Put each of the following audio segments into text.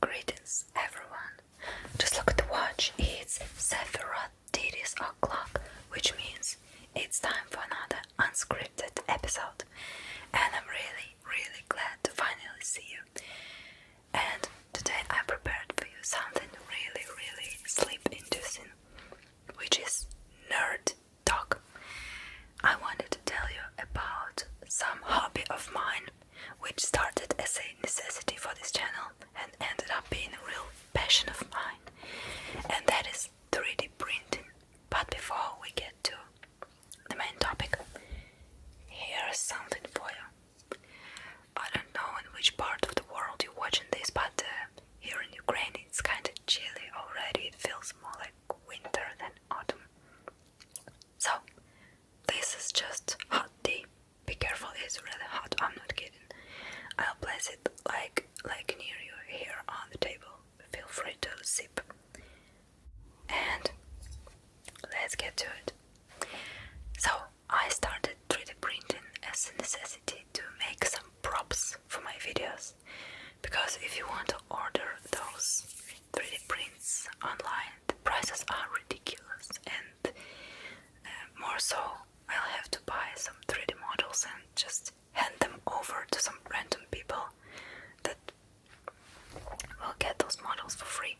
Greetings, everyone. Just look at the watch. It's 7:30 o'clock, which means it's time for another unscripted episode. And I'm really, really glad to finally see you. And today I prepared for you something really, really sleep inducing, which is nerd talk. I wanted to tell you about some hobby of mine which started as a necessity for this channel and ended up being a real passion of mine, and that is 3D printing. But before we get to the main topic, here's something for you. I don't know in which part of the world you're watching this, but uh, here in Ukraine it's kind of chilly already. It feels more like winter than autumn. So, this is just hot tea. Be careful, it's really hot. I'm not kidding. I'll place it like like near you here on the table. Feel free to sip. And let's get to it. So I started 3D printing as a necessity to make some props for my videos because if you want to order those 3D prints online the prices are ridiculous and uh, more so I'll have to buy some 3D models and just hand them over to some random people that will get those models for free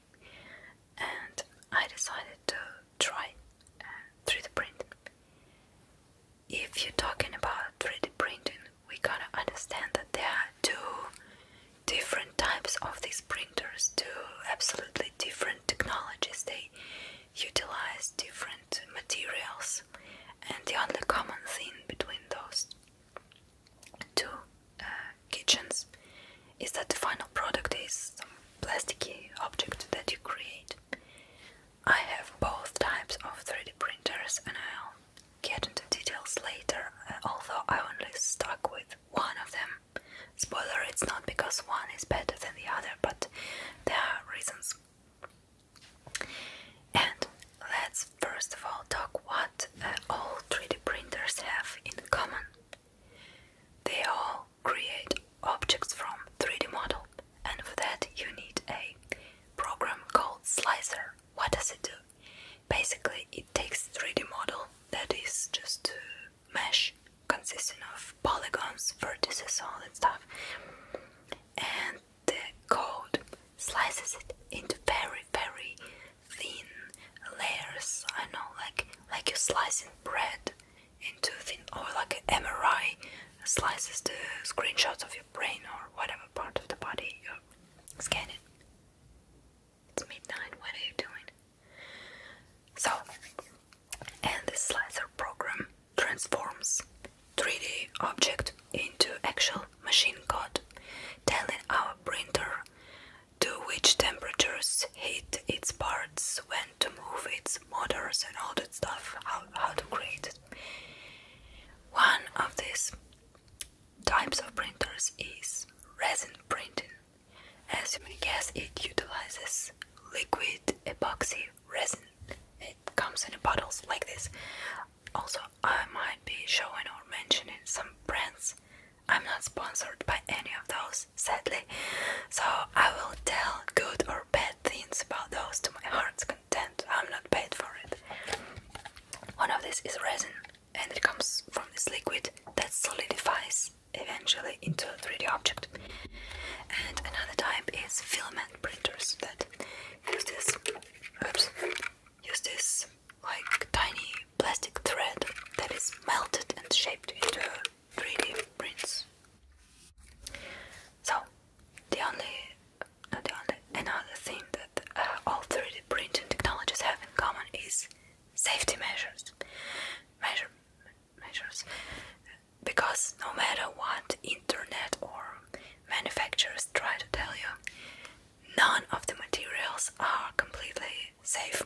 and I decided to try 3D uh, printing. If you're talking about 3D printing, we gotta understand that there are two different types of these printers do absolutely different technologies. They utilize different materials, and the only common thing between those two uh, kitchens is that the final product is some plasticky object that you create. I have both types of 3D printers, and I'll get into details later, uh, although I only stuck with one of them. Spoiler, it's not because one is better than the other, but there are reasons. And let's first of all talk what uh, all 3D printers have in common. They all create objects from 3D model, and for that you need a program called Slicer. What does it do? Basically, it takes 3D model that is just a mesh consisting of polygons, vertices, all that stuff, and the code slices it into very, very thin layers. I know, like like you slicing bread into thin, or like MRI slices the screenshots of your brain or whatever part of the body you're scanning. It's midnight, what are you doing? So, and the slicer program transforms 3D object into actual machine code, telling our printer to which temperatures heat its parts, when to move its motors and all that stuff, how, how to create it. One of these types of printers is resin printing. As you may guess, it utilizes liquid epoxy resin. It comes in bottles like this. Also, I might be showing or mentioning some brands. I'm not sponsored by any of those, sadly, so I will tell good or bad things about those to my heart's content. I'm not paid for it. One of these is resin and it comes from this liquid that solidifies eventually into a 3D object. And another type is filament printers that use this oops, use this like tiny plastic thread that is melted and shaped into 3D prints. So the only not the only another thing that uh, all 3D printing technologies have in common is safety measures, measure, measures, because no matter what internet or manufacturers try to tell you, none of the materials are completely safe.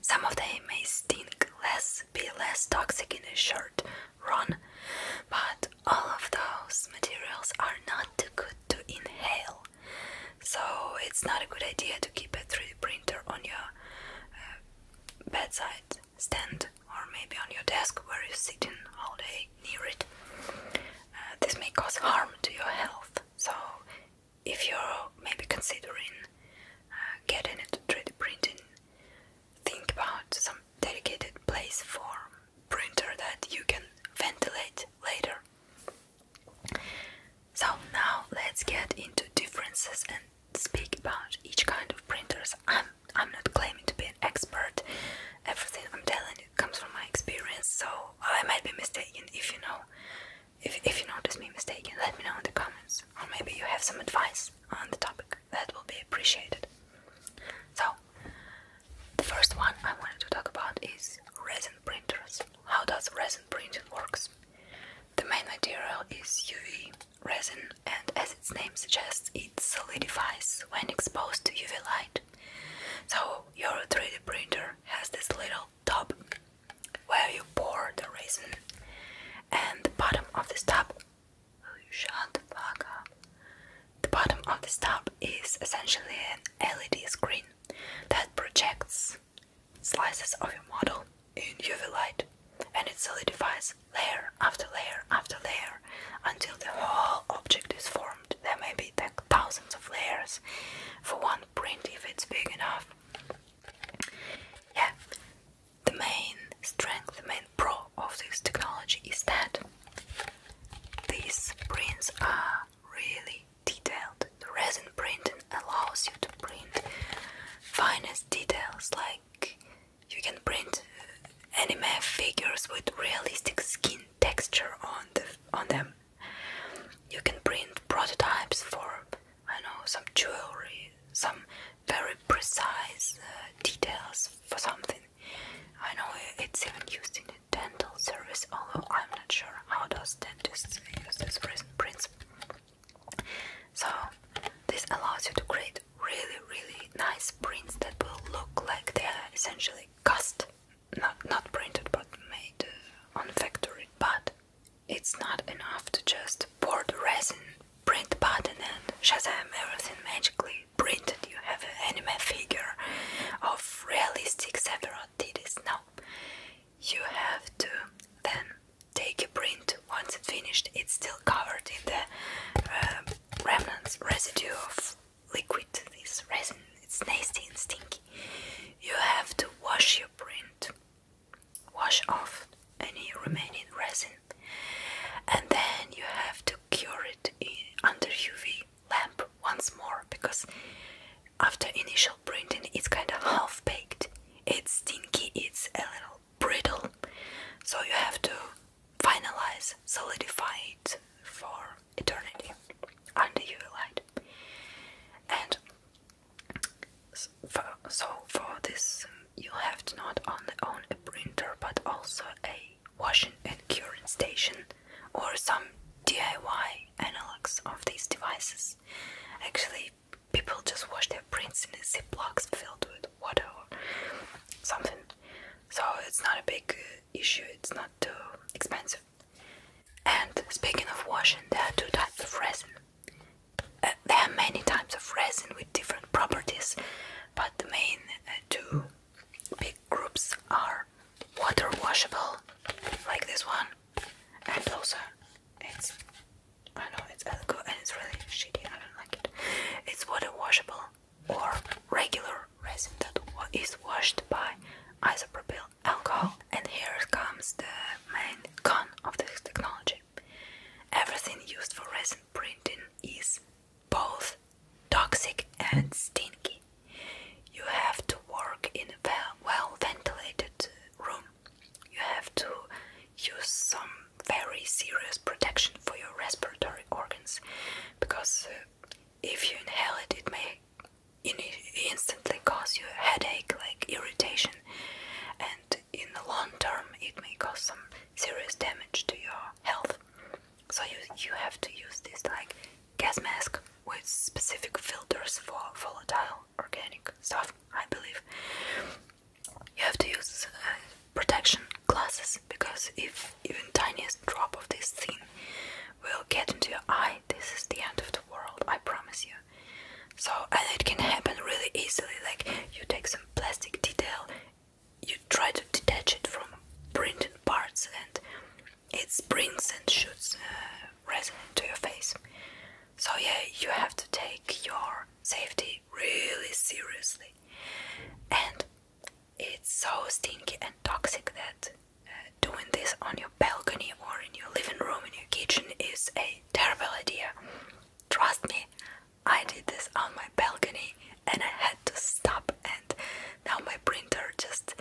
Some of them may stink less, be less toxic in a short run, but all of those materials are not too good to inhale. So it's not a good idea to keep a 3D printer on your uh, bedside stand or maybe on your desk where you're sitting all day near it. Uh, this may cause harm to your health. So if you're maybe considering uh, getting into 3D printing, think about some dedicated place for printer that you can ventilate later. So now let's get into differences and speak about each kind of printers. I'm I'm not claiming to be an expert. Everything I'm telling you comes from my experience, so I might be mistaken if you know if if you notice me mistaken, let me know in the comments. Or maybe you have some advice on the topic. That will be appreciated. So the first one I wanted to talk about is resin printers. How does resin printing works? The main material is UV resin and as its name suggests it solidifies when exposed to UV light. So your 3D printer has this little tub where you pour the resin and the bottom of this top oh, shut up. The bottom of this top is essentially an LED screen that projects slices of your model in UV light and it solidifies layer after layer after layer until the whole object is formed. There may be thousands of layers for one print if it's big enough. Yeah, the main strength, the main pro of this technology is that these prints are really detailed. The resin printing allows you to print finest details, like you can print anime figures with realistic skin texture on the on them. You can print prototypes for I know some jewelry, some very precise uh, details for something. I know it's even used in dental service, although I'm not sure how does dentists use this principle. So this allows you to create really really nice prints that will look like they are essentially cast, not not printed but made uh, on factory. But it's not enough to just pour the resin, print button, and Shazam everything magically printed. You have an anime figure of realistic Sephiroth titties. No, you have to then take a print. Once it's finished, it's still covered in the um, remnants, residue of liquid. This resin, it's nasty and stinky. You have to wash your print, wash off any remaining resin, and then you have to cure it in, eh, under UV lamp once more because after initial printing it's kind of half baked it's stinky it's a little brittle so you have to finalize solidify it for eternity under UV light and so for this you have to not only own a printer but also a washing and curing station or some DIY analogs of these devices. Actually, people just wash their prints in ziplocs filled with water or something. So it's not a big uh, issue, it's not too expensive. And speaking of washing, there are two types of resin. Uh, there are many types of resin with different properties, but the main uh, two big groups are water washable, like this one, and also it's I know it's elegant and it's really shitty. I don't like it. It's water washable or regular resin that is washed by isopropyl alcohol. And here comes the main con of this technology. Everything used for resin printing is both toxic and stinky. You have to work in a well ventilated room. You have to use some very serious protection for your respiratory organs because uh, if you inhale it, it may instantly cause you a headache, like irritation, and in the long term, it may cause some serious damage to your health. So you you have to use this like Gas mask with specific filters for volatile organic stuff, I believe. You have to use uh, protection glasses because if even tiniest drop of this thing will get into your eye, this is the end of the world, I promise you. So, and it can happen really easily. Like you take some plastic detail, you try to detach it from printed parts, and it sprays and shoots uh, resin into your face. So yeah, you have to take your safety really seriously. And it's so stinky and toxic that uh, doing this on your balcony or in your living room in your kitchen is a terrible idea. Trust me, I did this on my balcony and I had to stop and now my printer just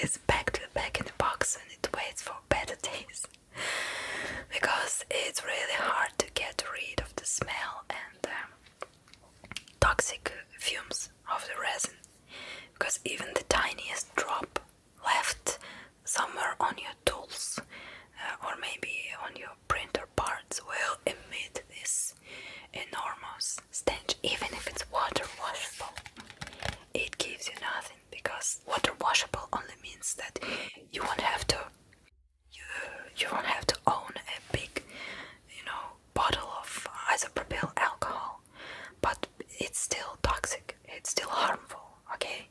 it's packed back in the box and it waits for better days because it's really hard to get rid of the smell and toxic fumes of the resin because even the tiniest drop left somewhere on your tools uh, or maybe on your printer parts will emit this enormous stench even if it's water washable it gives you nothing because water washable only means that you won't have to you, you won't have to own a big you know bottle of isopropyl alcohol but it's still toxic it's still harmful okay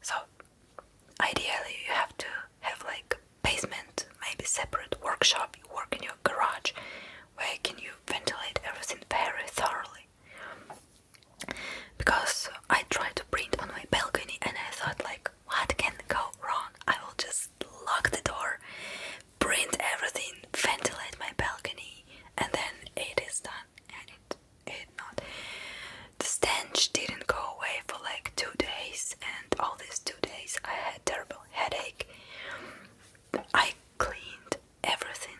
so ideally you have to have like basement maybe separate workshop you work in your garage where can you ventilate everything very thoroughly. Because I tried to print on my balcony and I thought like what can go wrong? I will just lock the door, print everything, ventilate my balcony and then it is done and it it not. The stench didn't go away for like two days and all these two days I had terrible headache. I cleaned everything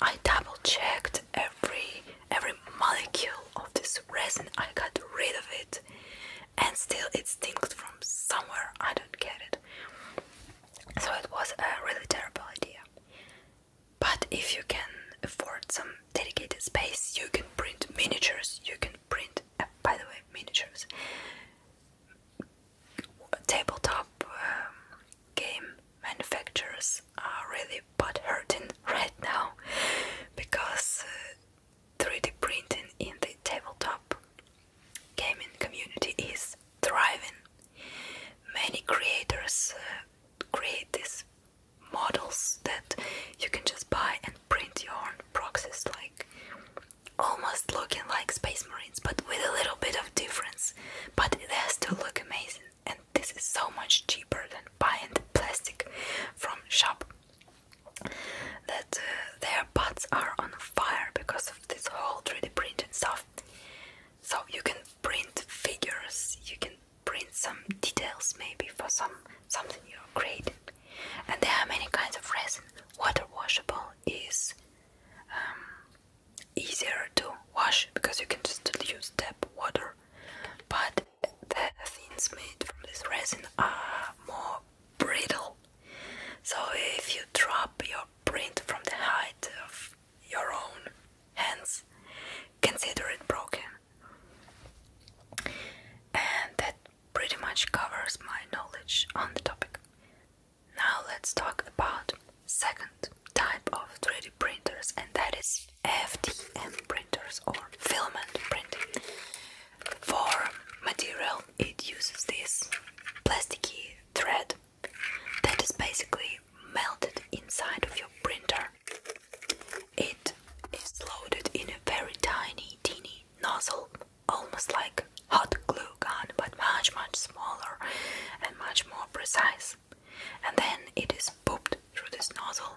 I double checked every every molecule of this resin. I got rid of it, and still it stinks from somewhere. I don't get it. So it was a really terrible idea. But if you can afford some dedicated space, you can print miniatures. You can print, uh, by the way, miniatures tabletop um, game manufacturers are really butt hurting right now because 3D uh, printing in the tabletop gaming community is thriving. Many creators uh, create these models that you can just buy and print your own proxies, like almost looking like Space Marine but with a little bit of difference. But it has to look amazing, and this is so much cheaper than buying the plastic from shop. That uh, their pots are on fire because of this whole 3D printing stuff. So you can print figures, you can print some details maybe for some something you're creating. And there are many kinds of resin. Water washable is um, easier to wash because you can just use tap water but the things made from this resin are more brittle so if you drop your print from the height of your own hands consider it broken and that pretty much covers my knowledge on the topic now let's talk about second type of 3D printers and that is FDM printers or filament printing. For material it uses this plasticky thread that is basically melted inside of your printer. It is loaded in a very tiny teeny nozzle, almost like hot glue gun, but much, much smaller and much more precise. And then it is pooped through this nozzle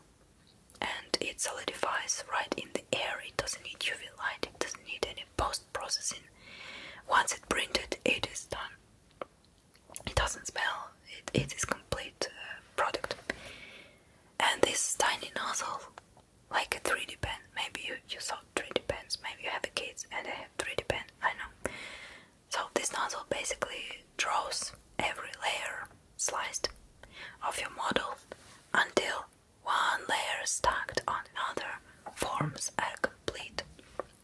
and it solidifies right in the air. It doesn't need UV light, it doesn't need any post processing. Once it's printed, it is done. It doesn't smell, it, it is complete uh, product. And this tiny nozzle, like a 3D pen, maybe you, you saw 3D pens. Maybe you have kids and they have 3D pens. I know. So this nozzle basically draws every layer sliced of your model until one layer stacked on another forms a complete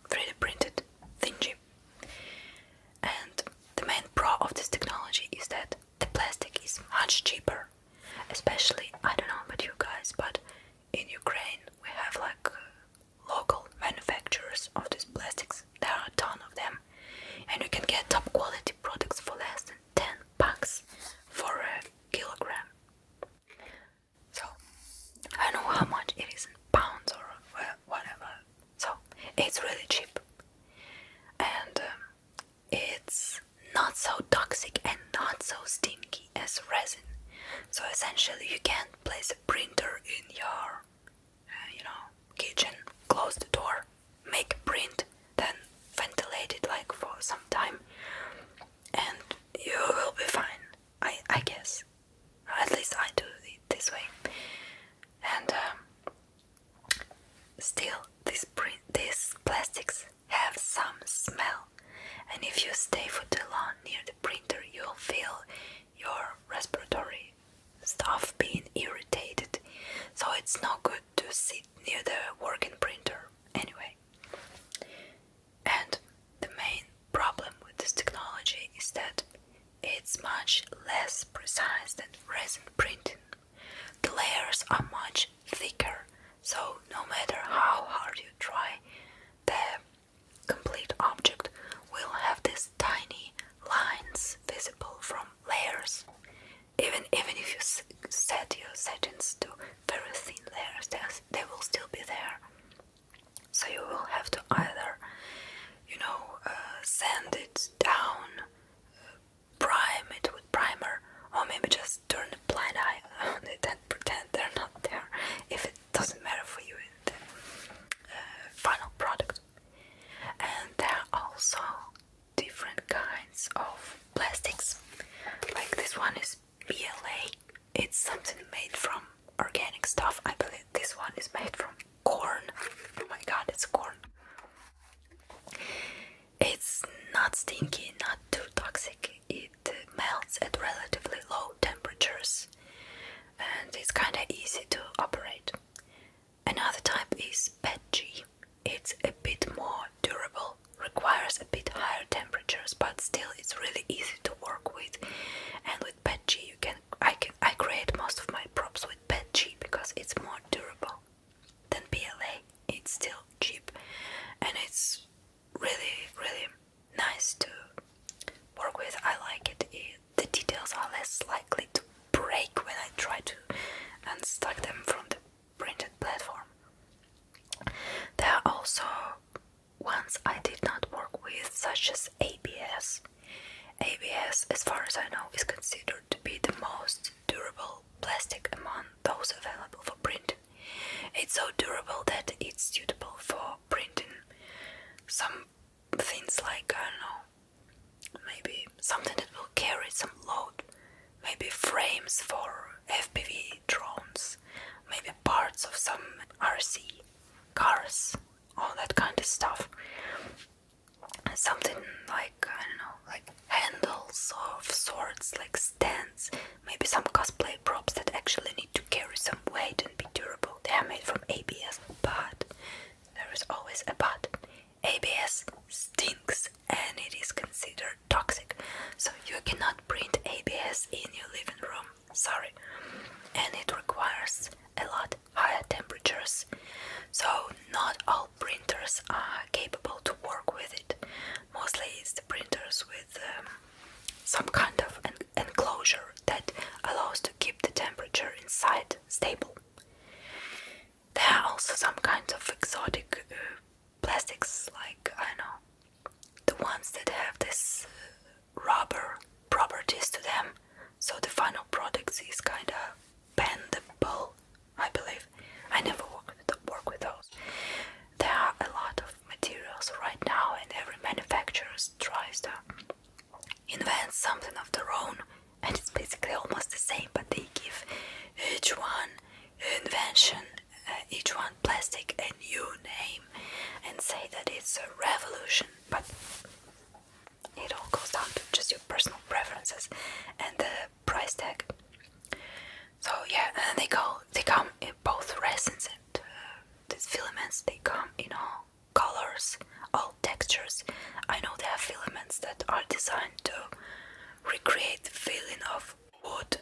3D printed thingy. And the main pro of this technology is that the plastic is much cheaper. Especially, I don't know about you guys, but in Ukraine we have like local manufacturers of these plastics. There are a ton of them, and you can get top quality products for less than 10 bucks for a kilogram. So, I know how much it is in pounds or whatever. So, it's really cheap and um, it's not so toxic and not so stinky as resin. So, essentially, you can place a printer in your, uh, you know, kitchen. Close the door, make a print, then ventilate it like for some time, and you will be fine. I I guess. At least I do it this way. And um, still, these print, these plastics have some smell, and if you stay for too long near printer, you'll feel your respiratory stuff being irritated. So it's no good to sit near the working printer anyway. And the main problem with this technology is that it's much less precise than resin printing. The layers are much thicker, so no matter how hard you try, the complete object will have these tiny lines visible from layers. Even even if you set your settings to very thin layers, they will still be there. So you will have to either, you know, uh, sand it down, uh, prime it with primer, or maybe just turn the blind eye and pretend they're not there if it doesn't matter for you in the uh, final product. And there are also different kinds of plastics. Like this one is PLA. It's something made from organic stuff. I believe this one is made from corn. Oh my god, it's corn. It's not stinky, not too toxic. It it melts at relatively low temperatures and it's kinda easy to operate. Another type is PETG. It's a bit more durable, requires a bit higher temperatures, but still it's really easy to work with. And with PETG you can I can I create most of my props with PETG because it's more durable than PLA. It's still cheap and it's really, really nice to work with. I like it. the details are less likely to break when I try to unstack them from the printed platform. There are also ones I did not work with, such as ABS. ABS, as far as I know, is considered to be the most durable plastic among those available for print. It's so durable that it's suitable for printing some things like, I don't know, maybe something that will carry some load, maybe frames for FPV drones, maybe parts of some RC cars, all that kind of stuff. Something like, I don't know, like handles of sorts, like stands, Maybe some cosplay props that actually need to carry some weight and be durable. They are made from ABS, but there is always a but. ABS stinks and it is considered toxic, so you cannot print ABS in your living room. Sorry. And it requires a lot higher temperatures, so not all printers are capable to work with it. Mostly it's the printers with um, some kind of enclosure that allows to keep the temperature inside stable. There are also some kinds of exotic uh, plastics, like I know the ones that have this uh, rubber properties to them. So the final product is kind of bendable, I believe. I never work with, work with those. There are a lot of materials right now, and every manufacturer tries to invent something of their own, and it's basically almost the same, but they give each one invention, uh, each one plastic, a new name, and say that it's a revolution, but it all goes down to just your personal preferences and the price tag. So yeah, and they go, they come in both resins and uh, these filaments they come in all colors, all textures. I know they are filaments that are designed to recreate the feeling of wood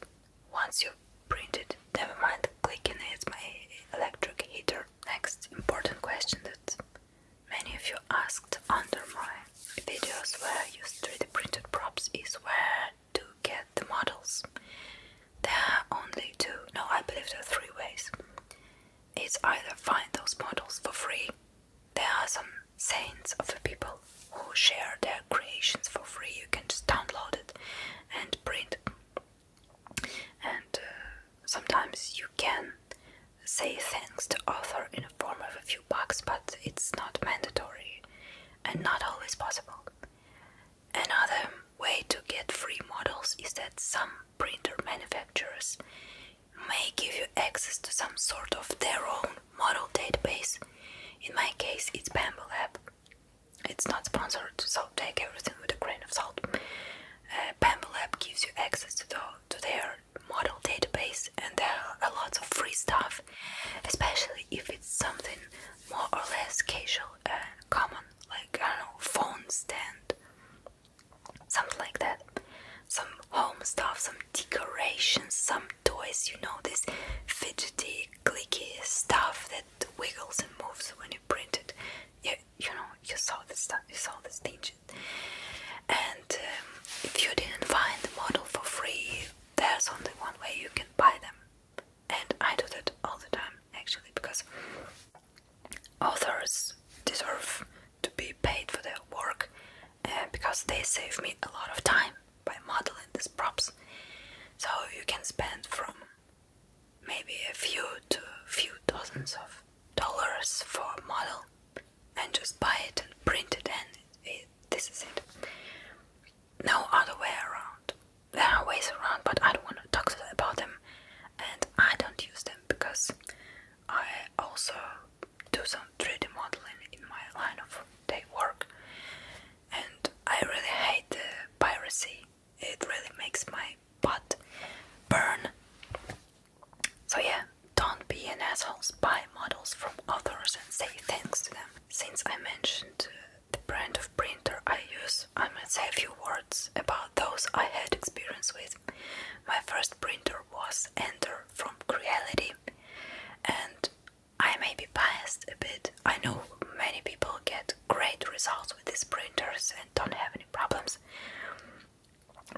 once you print it. Never mind, clicking is my electric heater. Next important question that many of you asked under my videos where I use 3D printed props is where to get the models. There are only two, no, I believe there are three ways. It's either find those models for free, there are some saints of the people who share their creations for free, you can just download it and print. And uh, sometimes you can say thanks to author in a form of a few bucks, but it's not mandatory and not always possible. Another way to get free models is that some printer manufacturers may give you access to some sort of their own model database. In my case, it's Bamble Lab. It's not sponsored, so take everything with a grain of salt. Uh, Bamble gives you access to, to their model database, and there are lots of free stuff, especially if it's something more or less casual and common like I don't know, phone stand, something like that. Some home stuff, some decorations, some toys, you know, this fidgety, clicky stuff that wiggles and moves when you print it. You, you know, you saw this stuff, you saw this digit. And um, if you didn't find the model for free, there's only one way you can buy them and I do that all the time actually because authors deserve to be paid for their work and because they save me a lot of time by modeling these props. So you can spend from maybe a few to a few dozens of dollars for a model and just buy it and print it and this is it no other way around. There are ways around, but I don't want to talk about them, and I don't use them because I also do some 3D modeling in my line of day work, and I really hate piracy. It really makes my butt burn. So yeah, don't be an asshole. Buy models from authors and say thanks to them. Since I mentioned uh, the brand of printer I use, I might say a few words about those I had experience with. My first printer was Ender from Creality, and I may be biased a bit. I know many people get great results with these printers and don't have any problems,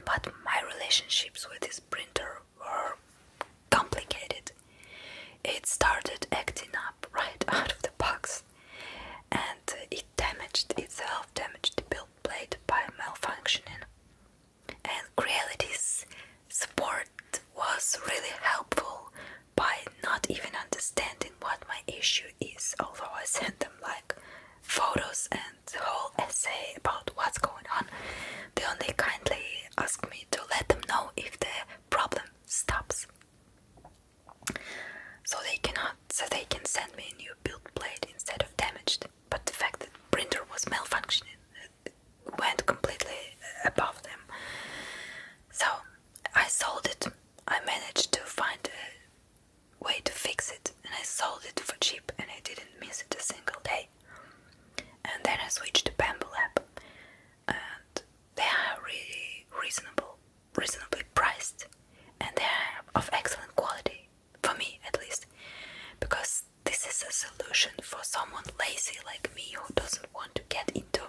but my relationships with this printer were complicated. It started acting up right out of the box and it damaged itself, damaged the build plate by malfunctioning. And Creality's support was really helpful by not even understanding what my issue is, although I sent them like photos and the whole essay about what's going on. They only kindly asked me to let them know if the problem stops. So they cannot so they can send me a new build plate instead of damaged. But the fact that printer was malfunctioning went completely above them. So I sold it. I managed to find a way to fix it and I sold it for cheap and I didn't miss it a single day. And then I switched to Bamboo Lab and they are really reasonable reasonably priced and they are of excellent quality, for me at least, because this is a solution for someone lazy like me who doesn't want to get into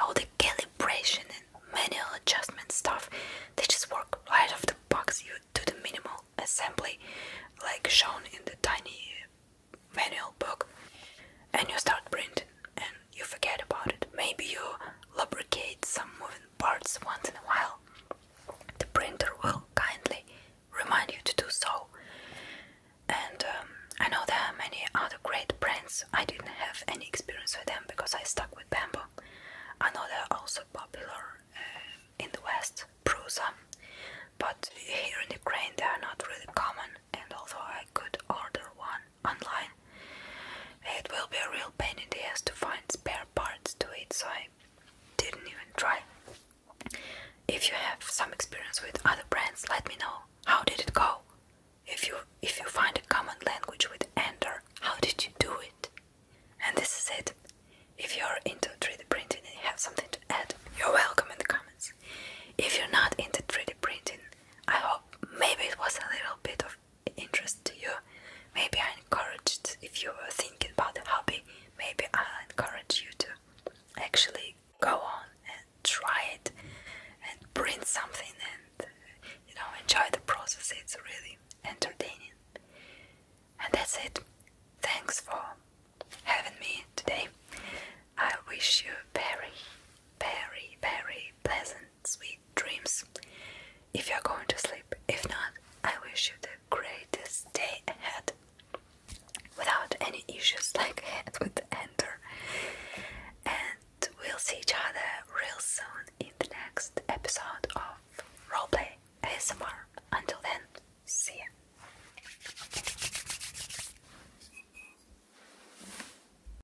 all the calibration and manual adjustment stuff. They just work right off the box. You do the minimal assembly, like shown in the tiny manual book, and you start printing. And you forget about it. Maybe you lubricate some moving parts once in a while. The printer will kindly remind you to do so. And um, I know there are many other great brands. I didn't have any experience with them because I stuck with bamboo. I know they're also popular uh, in the West, Prusa, but here in Ukraine they are not really common. And although I could order one online. It will be a real pain in the ass to find spare parts to it, so I didn't even try. If you have some experience with other brands, let me know. How did it go? If you if you find a common language with Ender, how did you do it? And this is it. If you're into 3D printing and you have something to add, you're welcome in the comments. If you're not into 3D printing, I hope maybe it was a little bit of interest to you. Maybe I encourage if you are thinking about a hobby, maybe I encourage you to actually go on and try it and print something and you know enjoy the process. It's really entertaining. And that's it. Thanks for having me today. I wish you very, very, very pleasant sweet dreams if you're going to sleep. If not, I wish you the greatest day ahead without any issues like I with Enter. And we'll see each other real soon in the next episode of Roleplay ASMR. Until then, see ya.